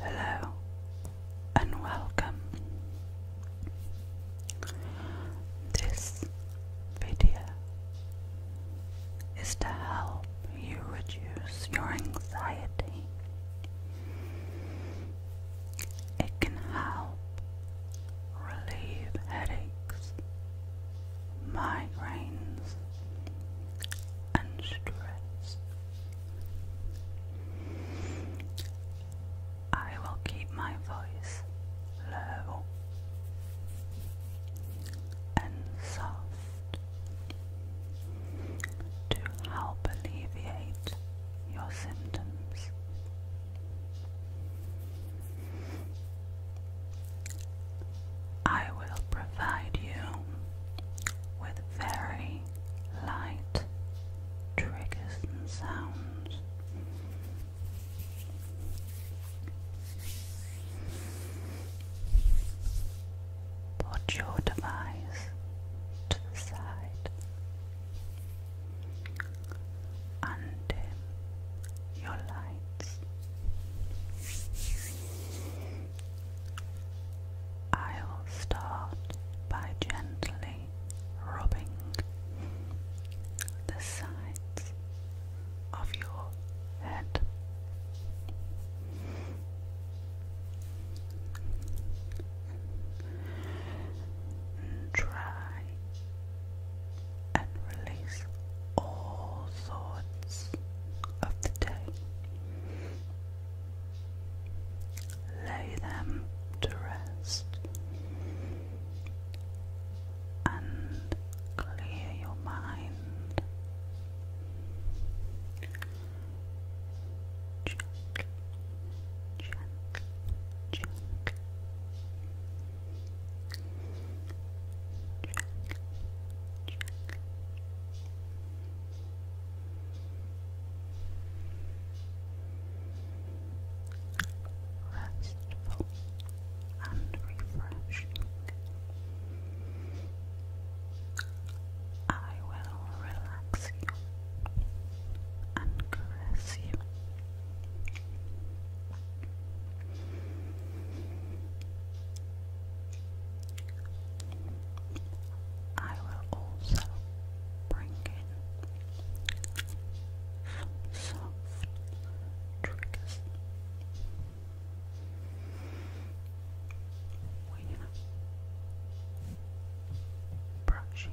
Hello and welcome. This video is to help you reduce your anxiety. It can help relieve headaches, migraines, and stress. I will keep my voice low and soft to help alleviate your symptoms. I will provide you with very light triggers and sounds. Put your device to the side and your lights. I'll start by gently rubbing the sides of your head. try and release all thoughts of the day. Lay them to rest and clear your mind. Restful and refreshing. I will relax you and caress you I will also bring in some soft triggers. We brushing,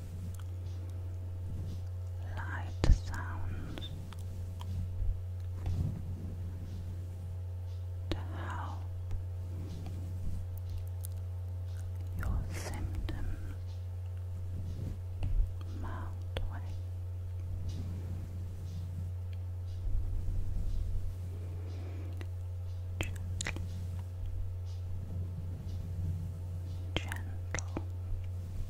light sounds. To how your symptoms melt away. gentle light, soft.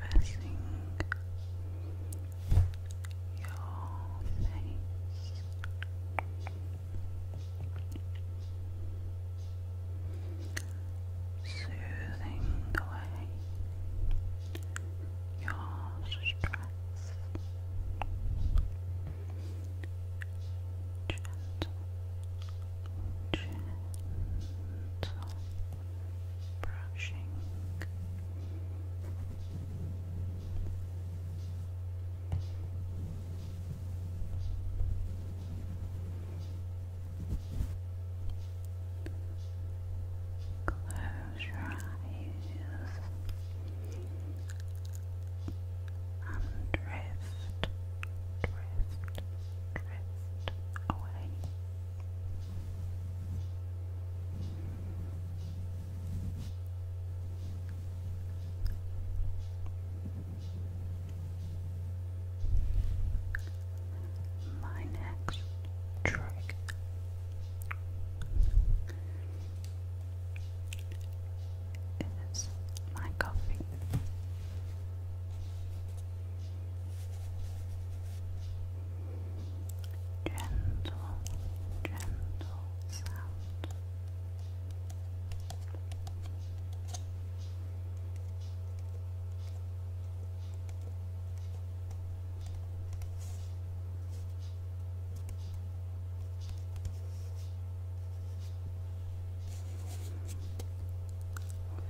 Gently pressing your face. Soothing away your stress, gentle, gentle brushing Close your eyes and drift, drift, drift away. My next trick is my coffee gentle, gentle sound.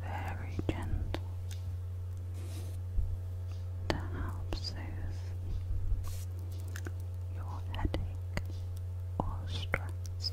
Very gentle, to help soothe your headache or stress.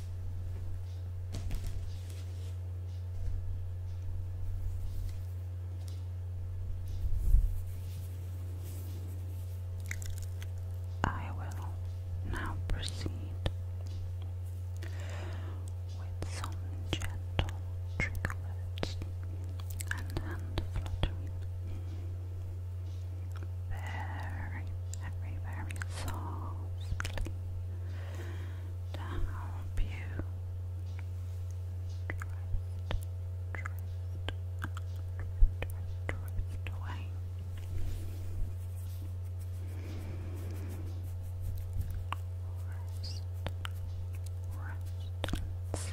I will now proceed with some gentle trigger and hand fluttering very, very, very softly to you drift, drift, drift, drift away. Rest, rest,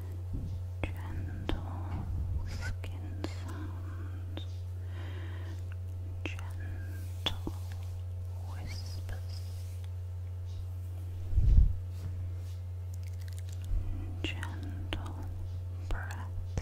gentle skin sounds, gentle whispers, gentle breaths.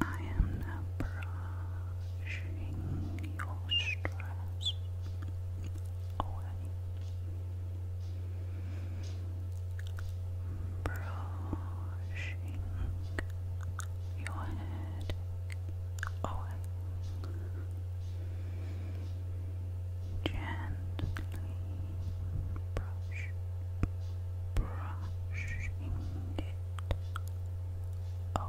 I am brushing your stress away. Brushing your head away. Gently brush, brushing away.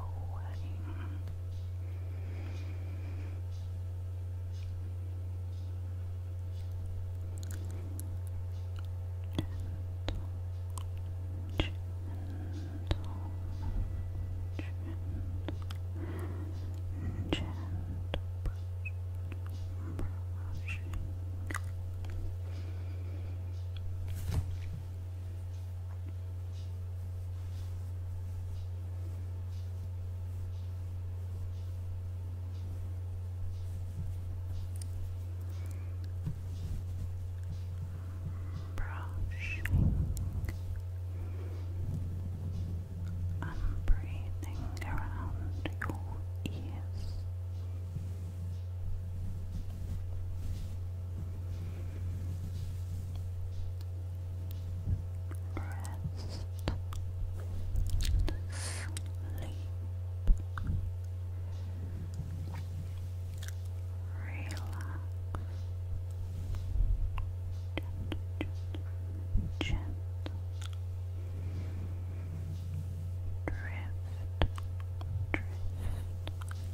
Gentle, gentle, gentle brushing, Brushing. I'm breathing around your ears. Rest. Sleep. Relax. Gentle, gentle, gentle drift, drift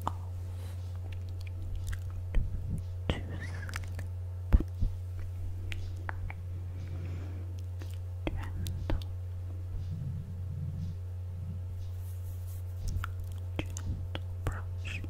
off to sleep. Gentle, gentle brushing. sleep,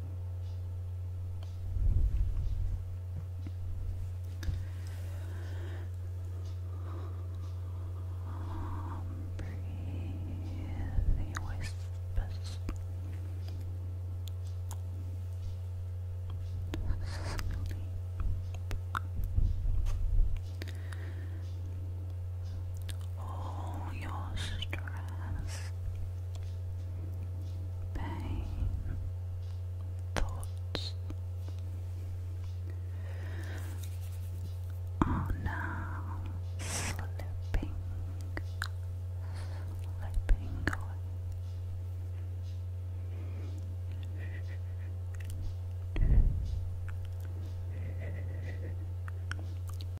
Breathing whispers all your stress, pain, thoughts are now slipping, slipping away.